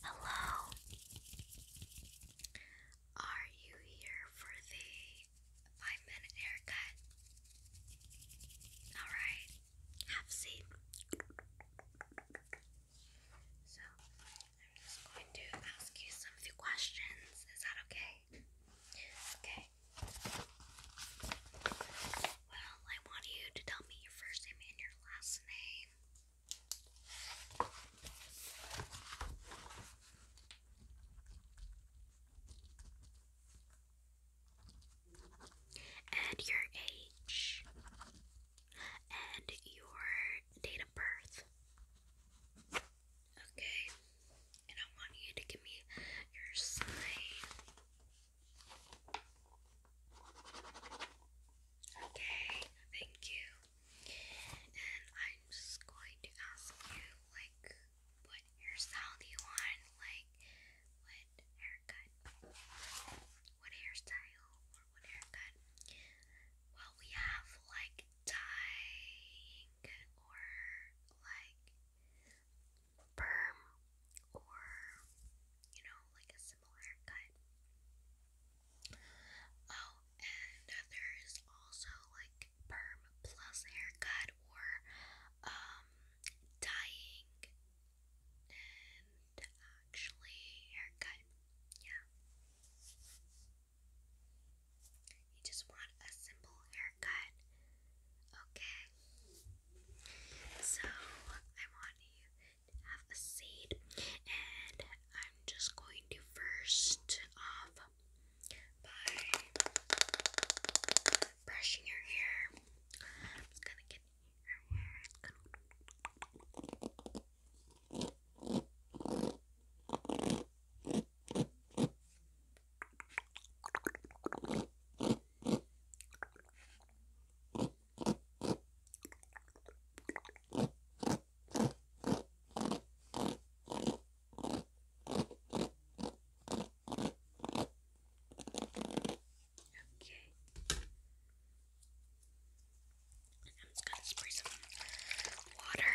Hello. Are you here for the five minute haircut? Alright, have a seat. So, I'm just going to ask you some few questions. Is that okay? Okay. Well, I want you to tell me your first name and your last name. And your age. And your date of birth. Okay. And I want you to give me your sign. Okay, thank you. And I'm just going to ask you, like, what hairstyle do you want? Like, what haircut? What hairstyle or what haircut? Well, we have, like, dyeing or, like, perm or, you know, like a similar haircut. Oh, and there is also like perm plus haircut or um dyeing and actually haircut. Yeah. You just want a simple haircut good. Okay. So I want you to have a seat, and I'm just going to first off by brushing your hair. I'm just gonna get your hair. Okay. I'm just gonna spray some water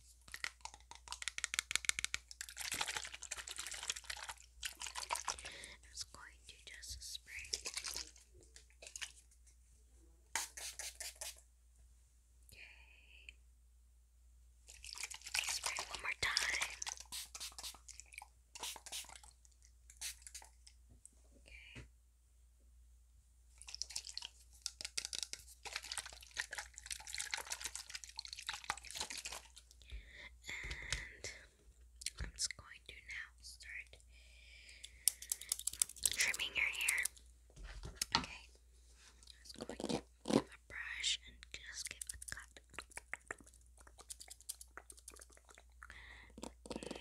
I'm just going to just spray. Spray one more time. Okay. I'm just going to now start trimming your hair. Okay. I'm just going to give a brush and just give a cut. Okay.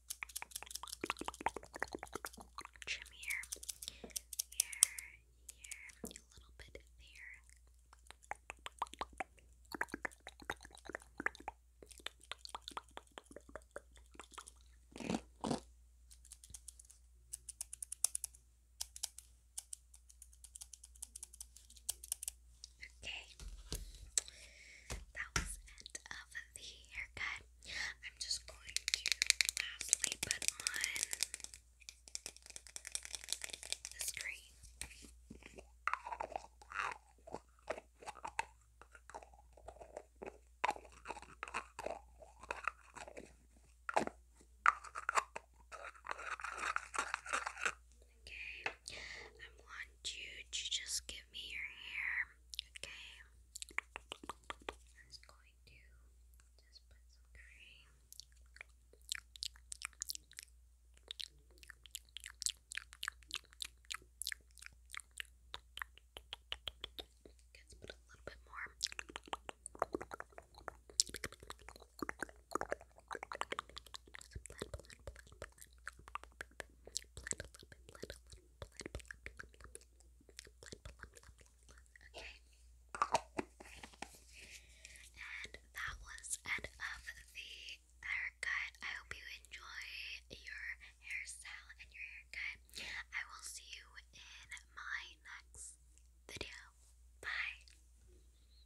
Trim here, here, here, a little bit there. Okay. That was end of the haircut. I'm just going to lastly put on this cream. Okay. I want you to just give me your hair. Okay. I'm just going to just put some cream. Let's put a little bit more. Okay. And that was end of the haircut. I hope you enjoy your hairstyle and your haircut. I will see you in my next video. Bye.